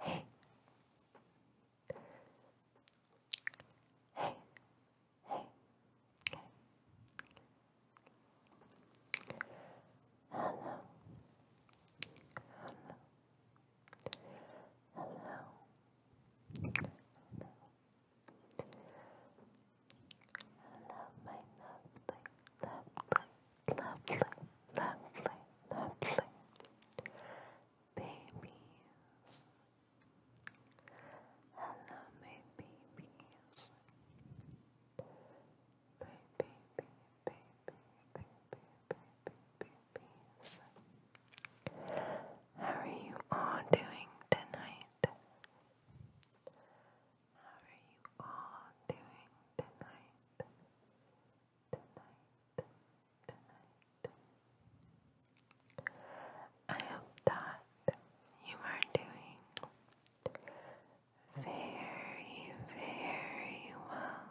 Hey. Hey. Hey. Okay. Hello. Hello. Hello. Hello. Hello, my lovely, lovely, lovely, lovely, lovely babies. Hello, my babies. Baby, baby, baby, baby, baby, babies. How are you all doing tonight? How are you all doing tonight? tonight, tonight. I hope that you are doing very, very well. Very, very well.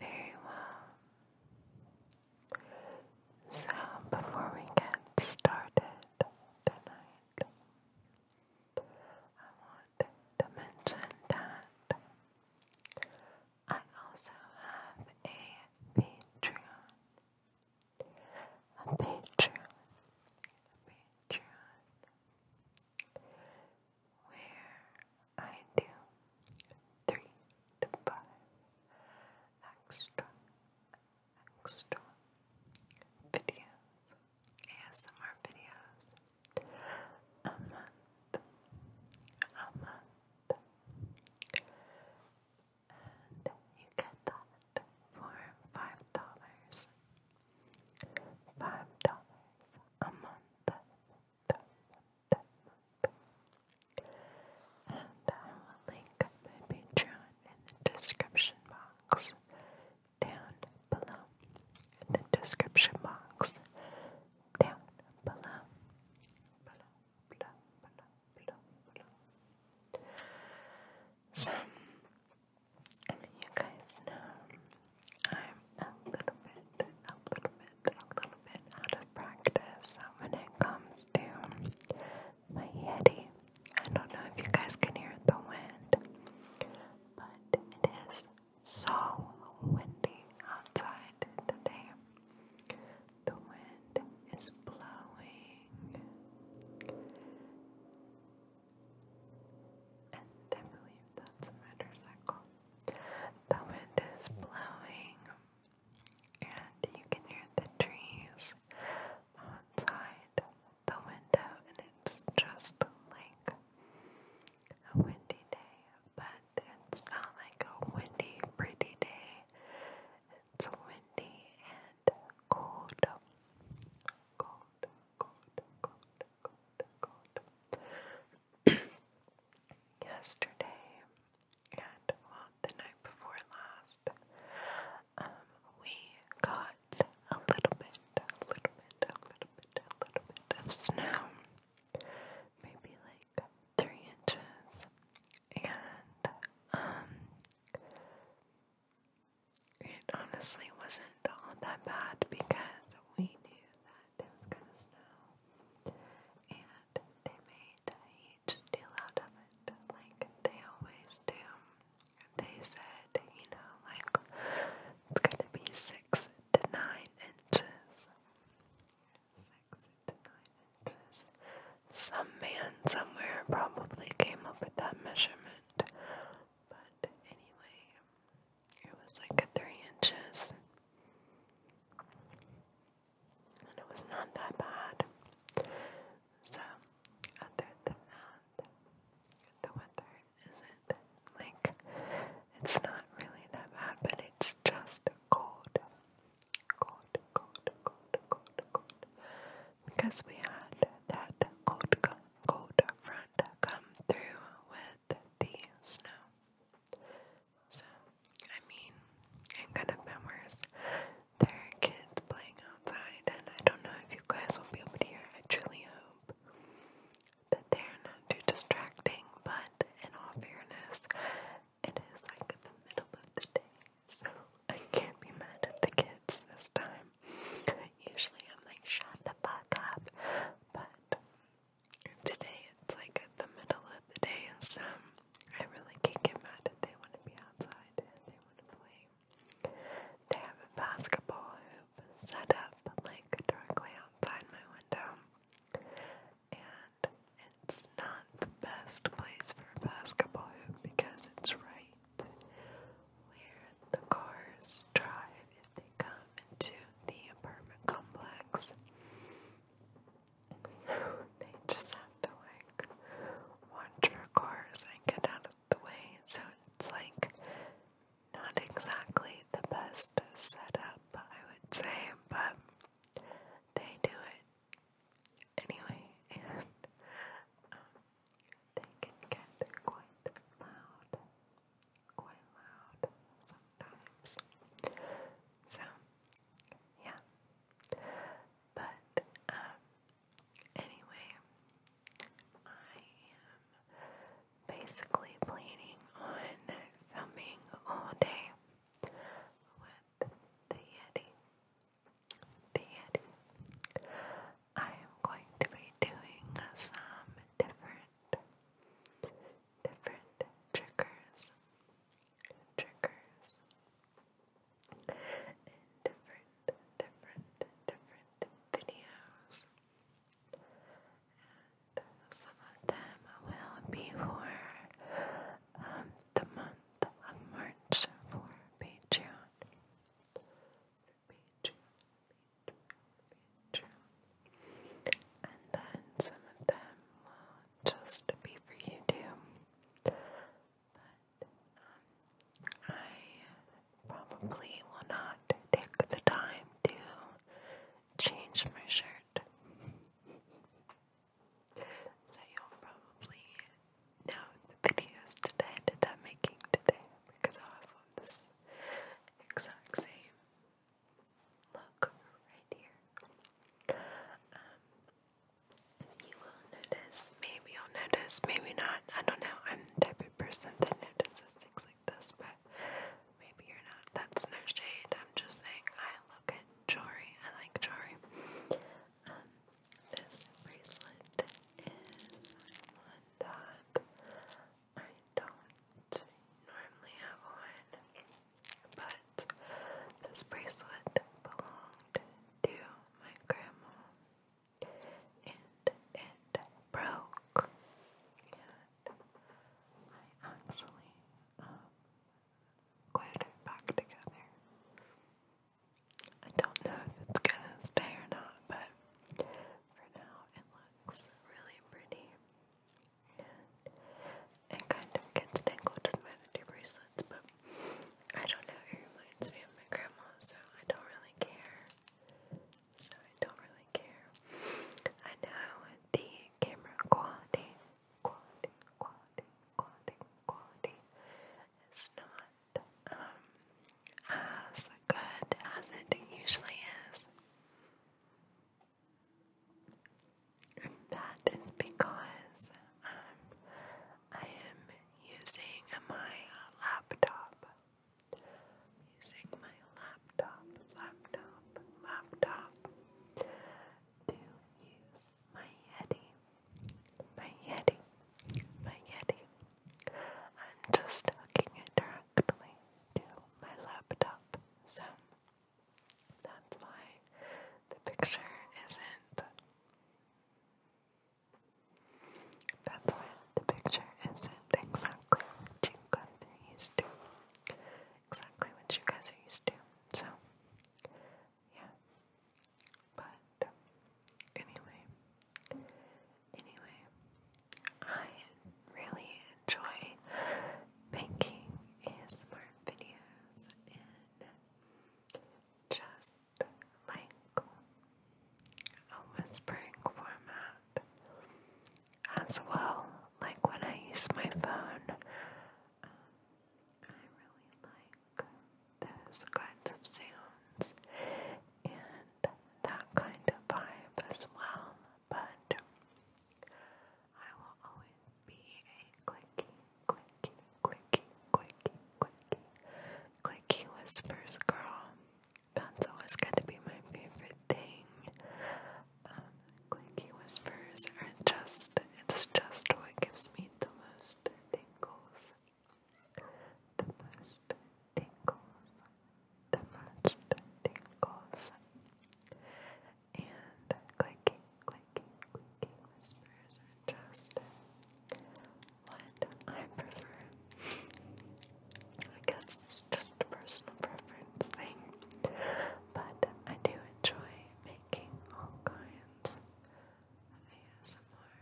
Very well. So, before we get started tonight, I want to mention that I also have a Patreon. Patreon. Patreon. Where I do three to five extra, extra videos, ASMR videos, a month, a month, and you get that for five dollars, five dollars a month, and I will link my Patreon in the description box down below. In the description box down below. Below, below, below, below, below. So, you guys know I'm a little bit, a little bit, a little bit out of practice when it comes my Yeti. I don't know if you guys can hear the wind, but it is so windy outside today. The wind is blowing, and I believe that's a motorcycle. The wind is blowing and you can hear the trees outside the window, and it's just like a windy day, but it's not like a windy, pretty day. It's windy and cold, cold, cold, cold, cold, cold. Yesterday, and the night before last, um, we got a little bit, a little bit, a little bit, a little bit of snow, maybe like three inches, and um, it honestly wasn't all that bad because we knew that it was gonna snow, they made a huge deal out of it, like they always do. They said, you know, like it's gonna be six to nine inches. Six to nine inches. Some man somewhere probably came up with that measurement. But anyway, it was like a three inches it was not that bad. So, other than that, the weather isn't like it's not really that bad, but it's just cold, cold, cold, cold, cold, cold, because we had that cold, cold front come through with the snow. So, I mean, it could have been worse. There are kids playing outside, and I don't know if you guys will be able to hear. I truly hope that they're not too distracting, but in all fairness, it is like the middle of the day, so I can't be mad at the kids this time. Usually I'm like, shut the fuck up, but today it's like at the middle of the day, and some I really can't get mad if they want to be outside and they want to play. They have a basketball hoop set up like directly outside my window. And it's not the best place for a basketball hoop because it's right where the cars drive if they come into the apartment complex. So they just have to like watch for cars and get out of the way. So it's like not exactly the best setup, I would say, but they do it anyway, and um, they can get quite loud, quite loud sometimes. So yeah. But um, anyway, I am basically planning on filming all day with the Yeti. The Yeti. I am going to be doing some different different triggers. Triggers in different, different, different videos. And some of them will be for the month of March for Patreon. Patreon, Patreon, Patreon. And then some of them will just be for YouTube but um, I probably will not take the time to change my shirt. So you'll probably know the videos that I'm making today because i have this exact same look right here. Um, you will notice, maybe you'll notice, maybe not. I don't know. I'm the type of person that notices things like this, but maybe you're not. That's no shade. I'm just saying I look at Jory. I like Jory. Um, this bracelet is one that I don't normally have on, but this bracelet belonged to my grandma, and it broke. And I actually um, glued it back together. I don't know if it's gonna stay or not, but for now it looks really pretty it kind of gets tangled in my other two bracelets, but I don't know, it reminds me of my grandma, so I don't really care. So I don't really care. I know the camera quality, quality, quality, quality, quality is not um as good as it usually is that is because um, I am using my laptop. using my laptop, laptop, laptop to use my Yeti. My Yeti. My Yeti. I'm just hooking directly to my laptop. So that's why the picture isn't that's why the picture isn't exactly what you guys are used to. Exactly what you guys are used to. So, yeah. But, anyway. Anyway. I really enjoy making ASMR videos just like a whispering format. As well, like when I use my phone, um, I really like those kinds of sounds and that kind of vibe as well. But I will always be a clicky, clicky, clicky, clicky, clicky, clicky whispers girl. That's always got to be my favorite thing. Um, clicky whispers are just, it's just what gives me the most tingles. The most tingles. The most tingles. And clicky, clicky, whispers are just what I prefer. I guess it's just a personal preference thing, but I do enjoy making all kinds of ASMR.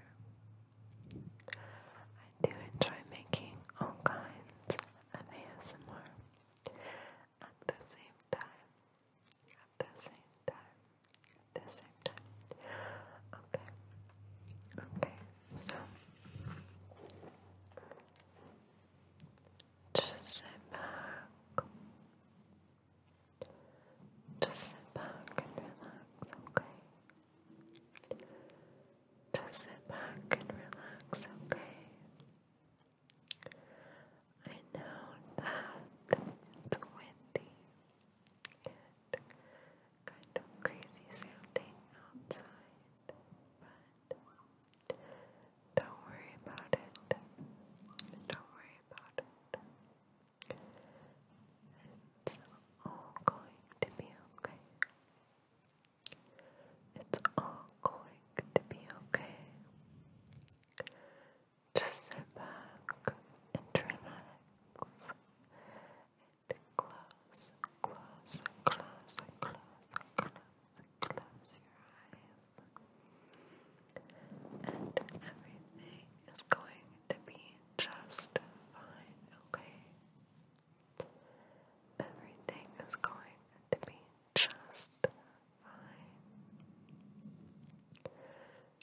I do enjoy making all kinds of ASMR at the same time at the same time. At the same time. Okay. Okay. So je sais pas. Just sit back and relax, okay? Just sit back and relax, okay? I know that it's and kind of crazy sounding outside, but don't worry about it. Don't worry about it. It's all going to be okay. It's all going to be okay. Just sit back and relax and close, close, close, close, close, close your eyes. And everything is going to be just fine, okay? Everything is going to be just fine.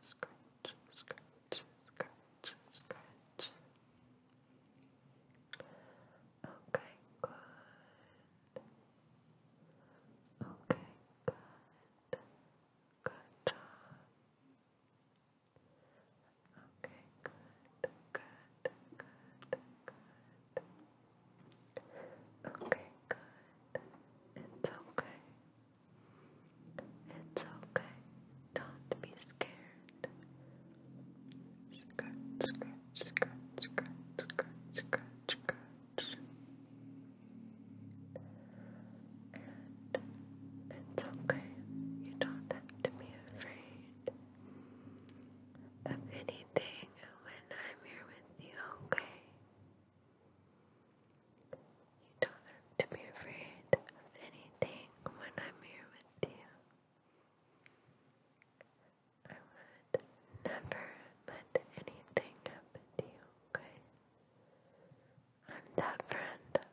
scratch, scratch, scratch, scratch. Okay, good. Okay, good. Good job. Okay, good, good, good, good. Okay, good. It's okay. It's okay don't be scared. Scratch, scratch, scratch, scratch, scratch, scratch, scratch. it's okay. You don't have to be afraid of anything when I'm here with you, okay? You don't have to be afraid of anything when I'm here with you. I would never let anything happen to you, okay? I'm that friend.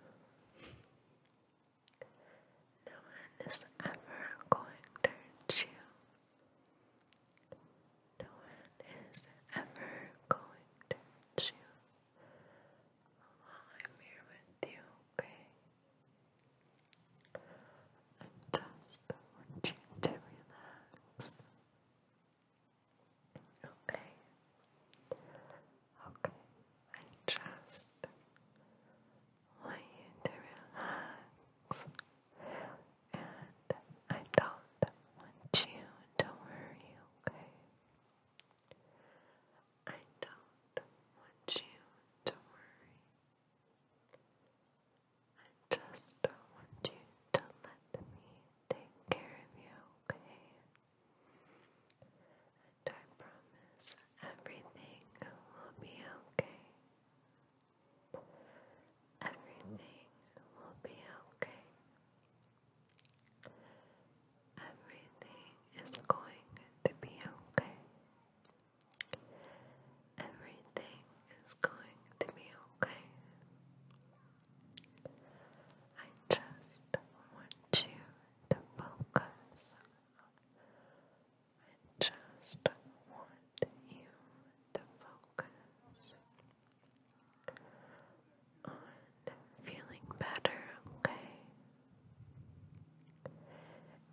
No one is ever going to hurt you. No one is ever going to hurt you. I'm here with you, okay? I just want you to relax. Okay. Okay. I just want you to relax. And I don't want you to worry, okay? I don't want you to worry. I just don't want you to let me take care of you, okay? And I promise everything will be okay. Everything will be okay. Everything is going to be okay. Everything is going to be okay. I just want you to focus. I just want you to focus on feeling better, okay?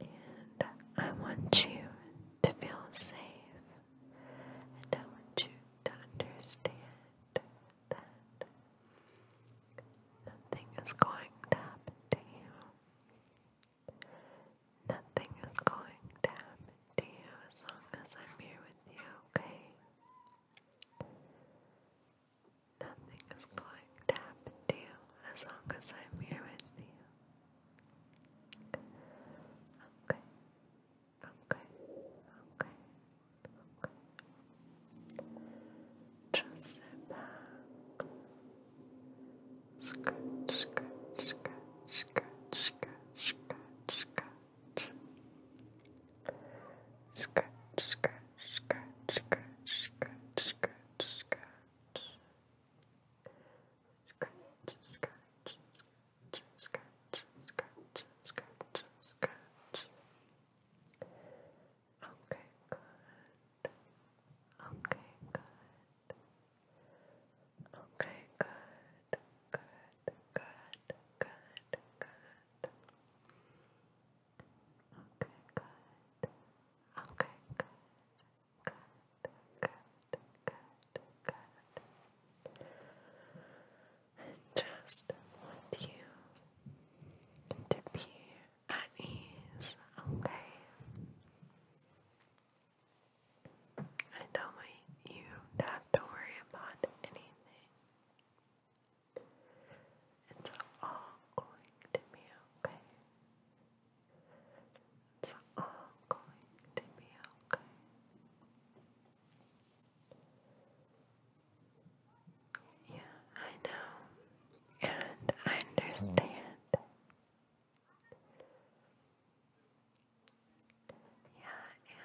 And I want you to feel safe, and I want you to understand that nothing is going to happen to you. Nothing is going to happen to you as long as I'm here with you, okay? Nothing is going to happen to you as long as I'm here with you. Okay. Okay. Okay. Okay. Just sit back. Scratch, scratch, scratch, scratch, scratch, scratch, scratch. Scratch, scratch, scratch, scratch, scratch, scratch, scratch. Scratch, scratch, scratch, scratch, scratch, scratch, scratch. Okay, good. Okay, good. Okay, good. Good, good, good, good. Okay, good. Okay, good. Good, good, good, good. I just want you to be at ease, okay? I don't want you to have to worry about anything. It's all going to be okay. It's all going to be okay. Yeah, I know. And I understand. Yeah,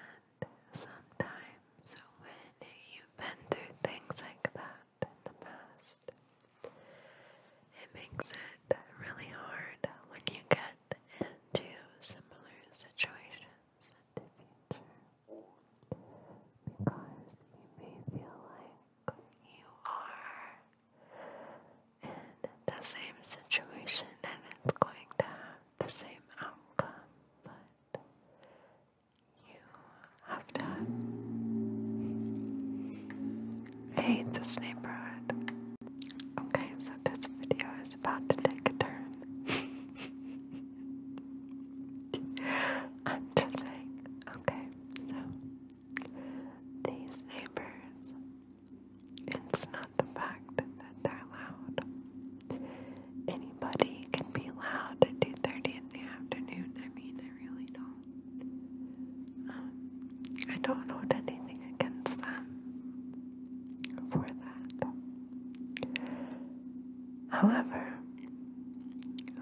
and sometimes when you've been through things like that, in the past. It makes it really hard when you get into similar situations in the future because you may feel like you are in the same situation and it's going to have the same outcome, but you have to I hate this neighborhood. Okay, so this video is about to take a turn. I'm just saying, okay, so these neighbors, it's not the fact that they're loud, anybody can be loud at 2.30 in the afternoon. I mean, I really don't. Um, I don't hold anything against them for that. However,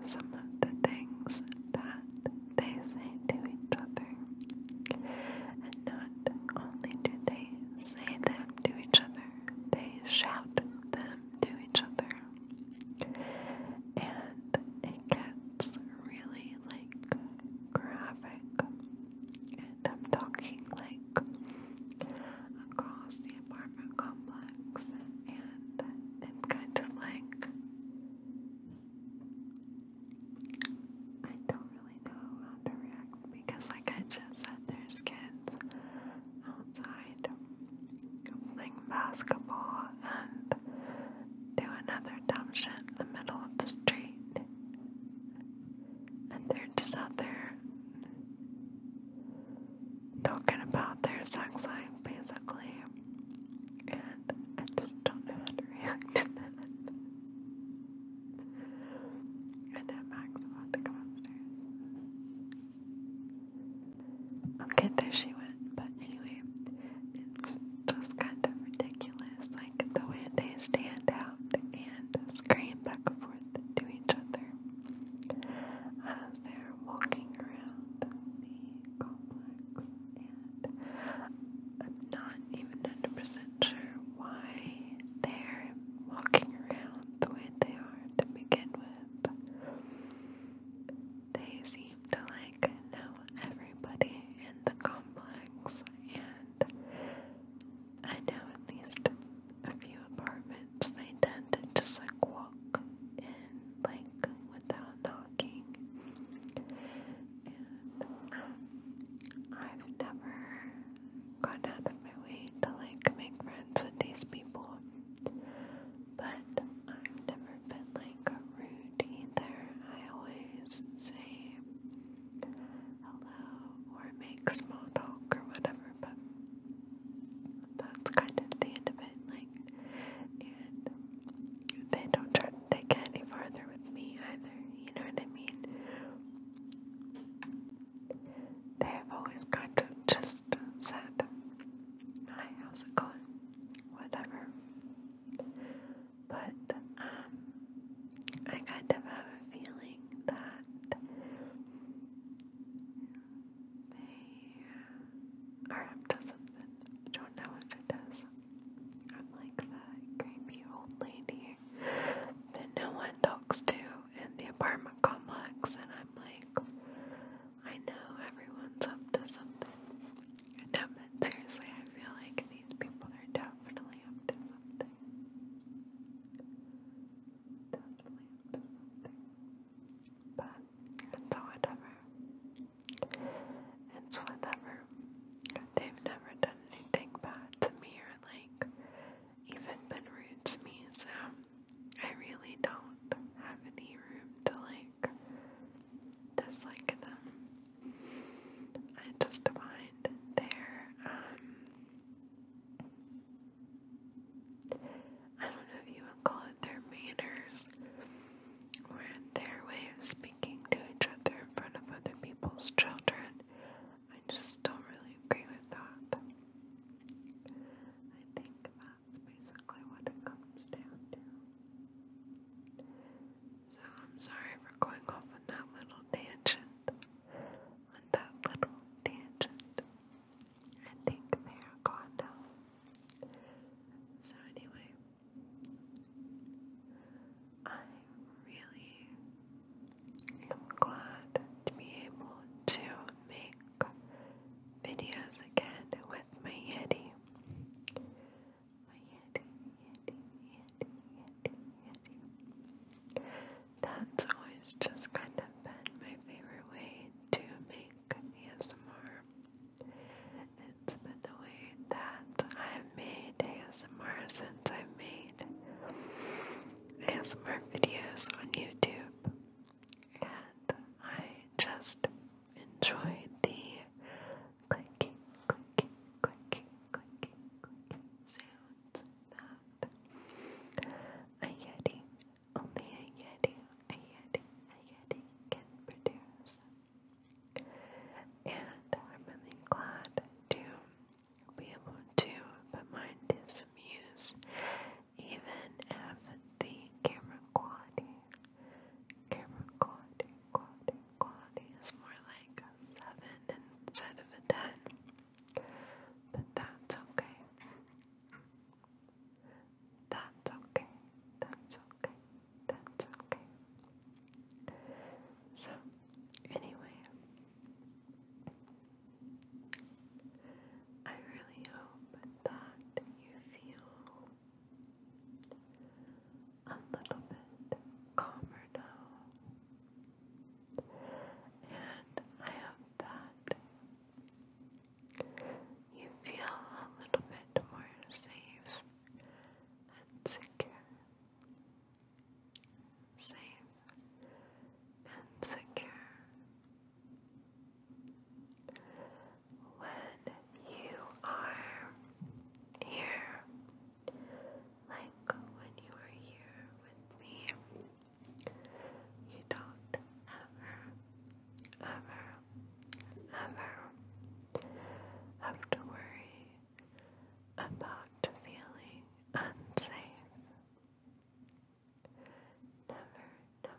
some of the things that they say to each other, and not only do they say them to each other, they shout them to each other and it gets really like graphic. And I'm talking like across the apartment complex, and it's kind of like I don't really know how to react because, like I just said, there's kids outside, playing basketball, and do another dumb shit in the middle of the street. And they're just out there talking about their sex life, basically. And I just don't know how to react to that. And then Max about to come upstairs. Okay, there she went. But anyway, it's just kind of ridiculous, like the way they stand out and scream back and forth to each other as they're walking around the complex. And I'm not even 100% sure why they're walking around the way they are to begin with. They seem to like know everybody in the complex, and I know at least a few apartments they tend to just like walk in, like without knocking. And um, I've never gone out of my way to like make friends with these people. But I've never been like rude either. I always say hello or make small talk or whatever, but that's kind of the end of it. Like, and they don't try to take any farther with me either. You know what I mean? They have always kind of just said, Hi, how's it going? Whatever. But um I kind of have a feeling that they are up to something. I don't know if it is. I'm like the creepy old lady that no one talks to in the apartment complex and I'm like I know everyone's up to something. No, but seriously, I feel like these people are definitely up to something. Definitely up to something. But it's whatever. It's whatever. They've never done anything bad to me or like even been rude to me, so I really don't have any room to like dislike them. I just find their um I don't know if you would call it their manners or their way of speaking to each other in front of other people's children. I just don't really agree with that. I think that that's basically what it comes down to. So I'm sorry for going off on that little tangent. On that little tangent. I think they are gone now. So anyway, I really glad to be able to make videos again with my Yeti. My Yeti, Yeti, Yeti, Yeti, Yeti. That's always just kind of been my favorite way to make ASMR. It's been the way that I've made ASMR since I've made ASMR videos on YouTube and I just enjoyed the clicking, clicking, clicking, clicking, clicking sounds that a Yeti, only a Yeti, a Yeti, a Yeti can produce. And I'm really glad to be able to put mine to some use even if the camera quality, camera quality, quality, quality is more like a 7 instead of a 10, but that's okay. That's okay, that's okay, that's okay. So, anyway, I really hope that you feel a little bit calmer now. And I hope that you feel a little bit more safe and secure. Safe and secure when you are here, like when you are here with me, you don't ever, ever, ever have to worry about feeling unsafe. Never, never,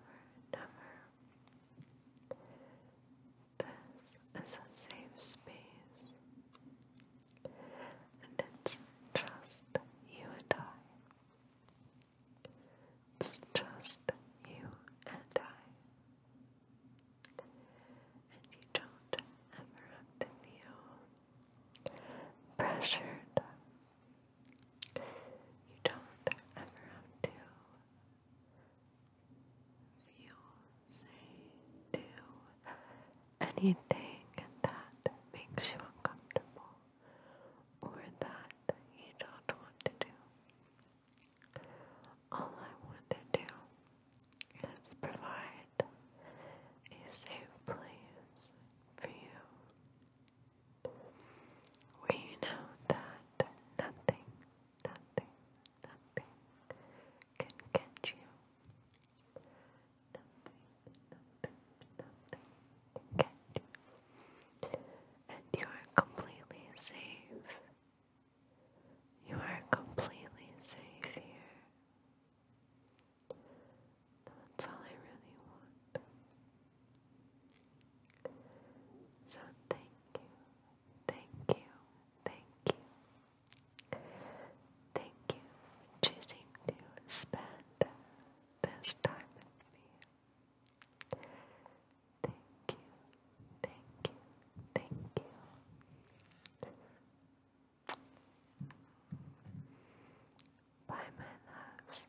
never this is a safe space, and it's just you and I. It's just you and I. And you don't ever have to feel pressured you don't ever have to feel say do anything that makes you uncomfortable or that you don't want to do. All I want to do is provide a safe place for you where you know that nothing, nothing, nothing can catch you. Nothing, nothing, nothing can catch you. And you are completely safe. You are completely safe here. That's all I really want. So thank you, thank you, thank you. Thank you choosing to spend this time with me. Thank you, thank you, thank you. Bye, my loves.